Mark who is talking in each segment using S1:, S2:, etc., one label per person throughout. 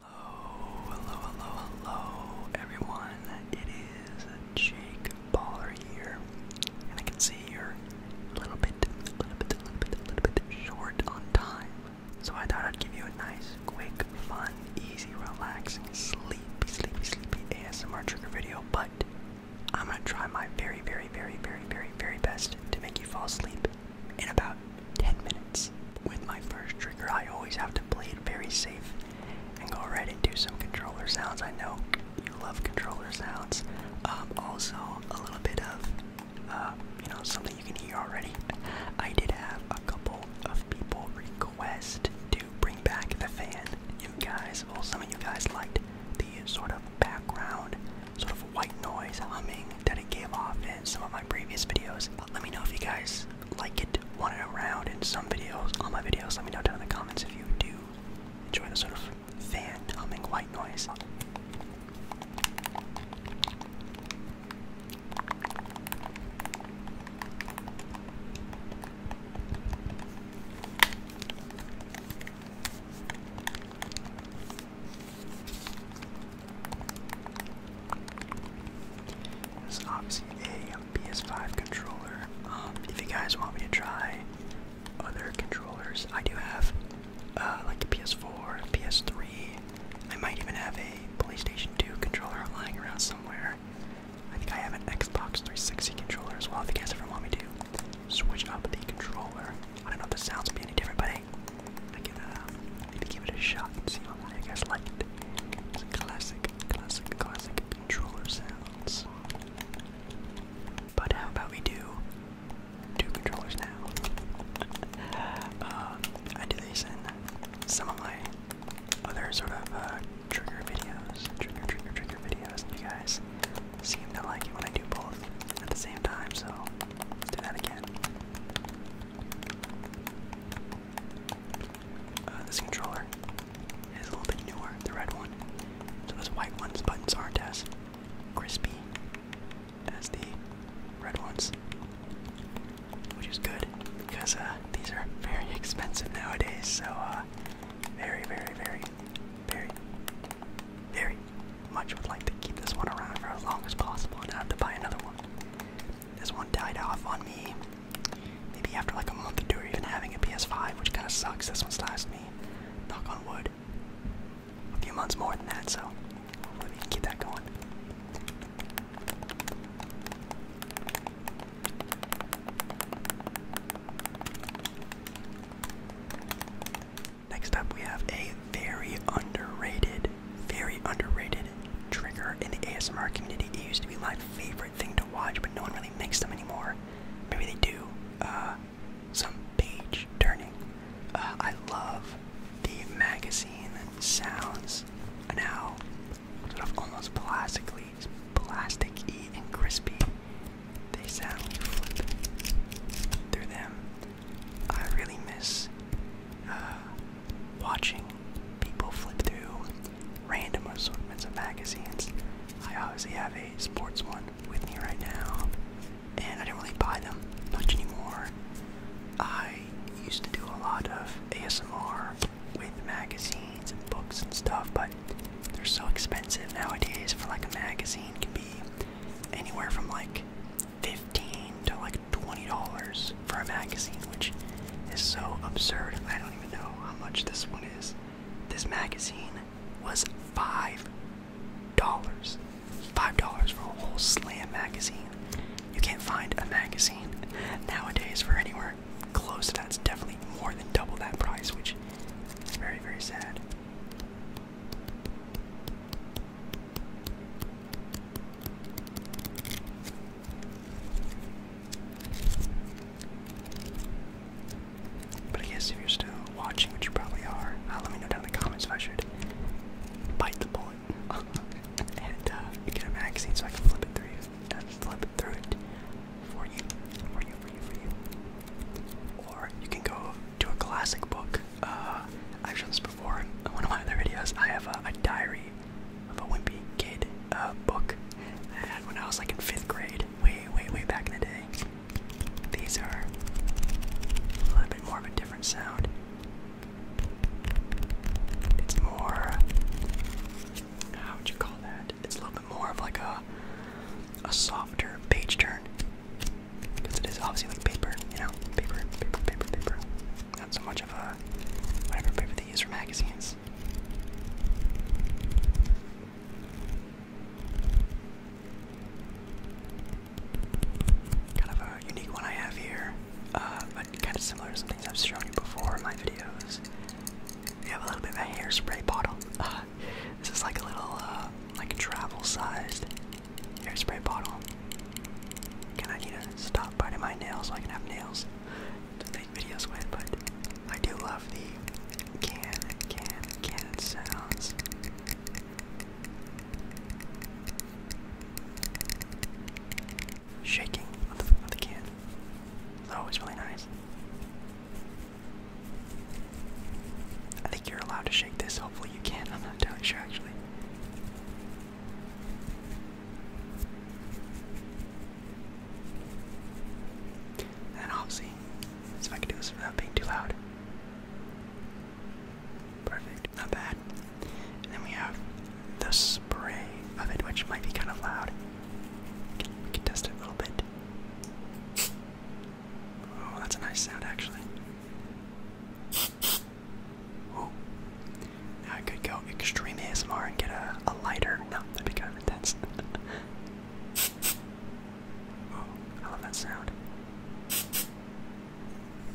S1: Hello, hello, hello, hello, everyone. It is Jake Baller here, and I can see you're a little bit, a little bit, a little bit, a little bit short on time. So I thought I'd give you a nice, quick, fun, easy, relaxing, sleepy, sleepy, sleepy ASMR trigger video. But I'm gonna try my very, very, very, very, very, very best to make you fall asleep in about 10 minutes. With my first trigger, I always have to play it very safe and go right into some controller sounds. I know you love controller sounds. Um, also, a little bit of, uh, you know, something you can hear already. I did have a couple of people request to bring back the fan. You guys, well, some of you guys liked the sort of background, sort of white noise humming Dead Game Off in some of my previous videos. let me know if you guys like it, want around in some videos, all my videos. Let me know down in the comments if you do enjoy the sort of fan humming white noise. This is obviously a PS5 controller. Um, if you guys want me to try other controllers, I do have uh, like a PS4, PS3. I might even have a PlayStation 2 controller lying around somewhere. I think I have an Xbox 360 controller as well. If you guys ever want me to switch up the controller, I don't know if this sounds be any different, but I, I can, to give it a shot and see how many you guys like it. classic, classic, classic controller But how about we do two controllers now? Uh, I do these some of my other sort of uh, trigger videos, trigger, trigger, trigger videos, you guys seem to like it when I do both at the same time, so let's do that again. Uh, this controller is a little bit newer, the red one. So those white ones buttons aren't as crispy as the red ones, which is good because uh, these are very expensive nowadays. So uh, very, very, very, very, very much would like to keep this one around for as long as possible and not have to buy another one. This one died off on me maybe after like a month or two or even having a PS5, which kind of sucks. This one's lasted me, knock on wood, a few months more than that, so let me can keep that going. Next up, we have a very underrated, very underrated trigger in the ASMR community. It used to be my favorite thing to watch, but no one really makes them anymore. Maybe they do. Uh, some page turning. Uh, I love the magazine sounds now, sort of almost plastically, plastic-y and crispy they sadly flip through them. I really miss uh, watching people flip through random assortments of magazines. I obviously have a sports one with me right now, and I don't really buy them much anymore. I used to do a lot of ASMR with magazines and books and stuff, but they're so expensive nowadays for like a magazine can anywhere from like 15 to like $20 for a magazine, which is so absurd. I don't even know how much this one is. This magazine was $5. $5 for a whole slam magazine. You can't find a magazine nowadays for anywhere close to that. It's definitely more than double that price, which is very, very sad. But I guess if you're still watching, which you probably are, uh, let me know down in the comments if I should bite the bullet and uh, get a magazine so I can flip it through, uh, flip it through it, or you can go to a classic book. Uh, I've shown this before in one of my other videos. I have a, diary of a wimpy kid uh, book I had when I was like in fifth grade, way, way, way back in the day. These are a little bit more of a different sound. It's more. How would you call that? It's a little more of like a a softer page turn because it is obviously like paper, you know, paper, paper, paper, paper. Not so much of a whatever paper they use for magazines. Kind of a unique one I have here, uh, but kind of similar to some things I've shown you before in my videos. We have a little bit of a hairspray bottle. Uh, this is like a little, uh, like travel-sized hairspray bottle. Can I need stop biting my nails so I can have nails to make videos with? But I do love the can, can, can sounds. Shaking of the can. It's always really nice. I think you're allowed to shake this. Hopefully, you can. I'm not entirely sure, actually. And I'll see. if I can do this without being too loud. Perfect. Not bad. And then we have the spray of it, which might be kind of loud. We can test it a little bit. Oh, that's a nice sound, actually. Ooh. Now I could go extreme ASMR and get a lighter. No, that'd be kind of intense. oh, I love that sound.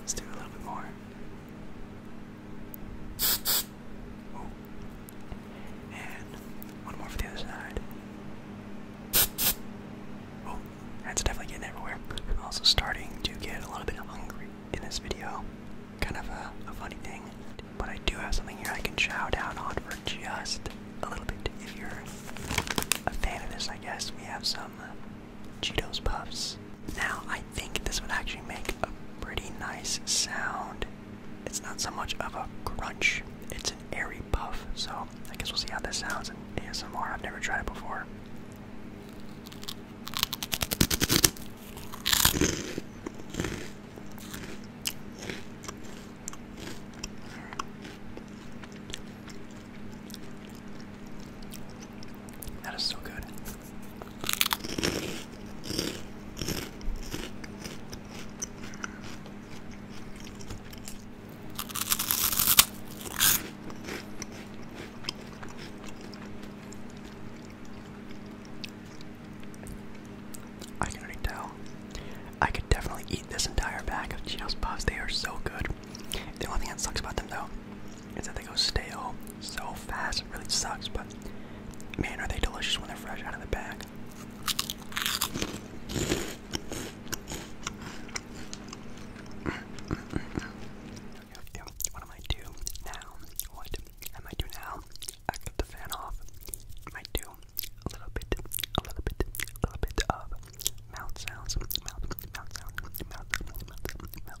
S1: Let's do a little bit more. And one more for the other side. Oh, that's definitely getting everywhere. I'm also starting to get a little bit hungry in this video. Kind of a funny thing. But I do have something here I can chow down on for just a little bit. If you're a fan of this, I guess we have some uh, Cheetos Puffs. Now, I think this would actually make a pretty nice sound. It's not so much of a crunch, it's an airy puff. So I guess we'll see how this sounds in ASMR. I've never tried it before. That is so good. I can already tell. I could definitely eat this entire bag of Cheetos Puffs. They are so good. The only thing that sucks about them, though, is that they go stale so fast. It really sucks, but man, are they delicious when they're fresh out of the bag. What am I do now? What am I do now? I got the fan off. I do a little bit, a little bit, a little bit of mouth sounds, mouth, mouth sounds, mouth, mouth, mouth, mouth,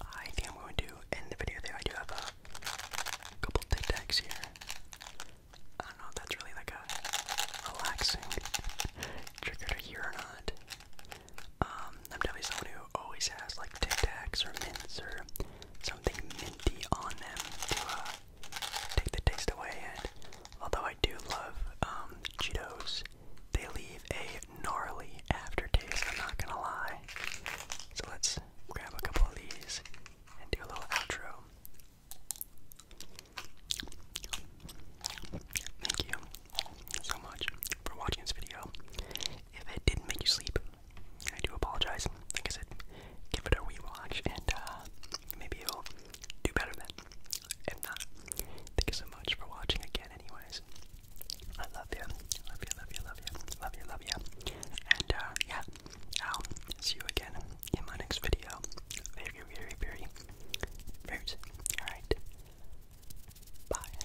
S1: I think I'm going to end the video there. I do have a couple Tic Tacs here. I don't know if that's really like a relaxing trigger to hear or not. Um, I'm definitely someone who always has like Tic Tacs or mints or something minty on them to uh, take the taste away. And although I do love um, Cheetos, they leave a gnarly aftertaste. I'm not gonna lie. So let's grab a couple of these and do a little outro. Thank you so much for watching this video. If it didn't make you sleep, I do apologize guys, like I said, give it a rewatch and uh, maybe you'll do better then. If not, thank you so much for watching again, anyways. I love you. Love you, love you, love you. Love you, love you. And uh, yeah, I'll see you again in my next video. Very, very, very, very soon. Alright. Bye.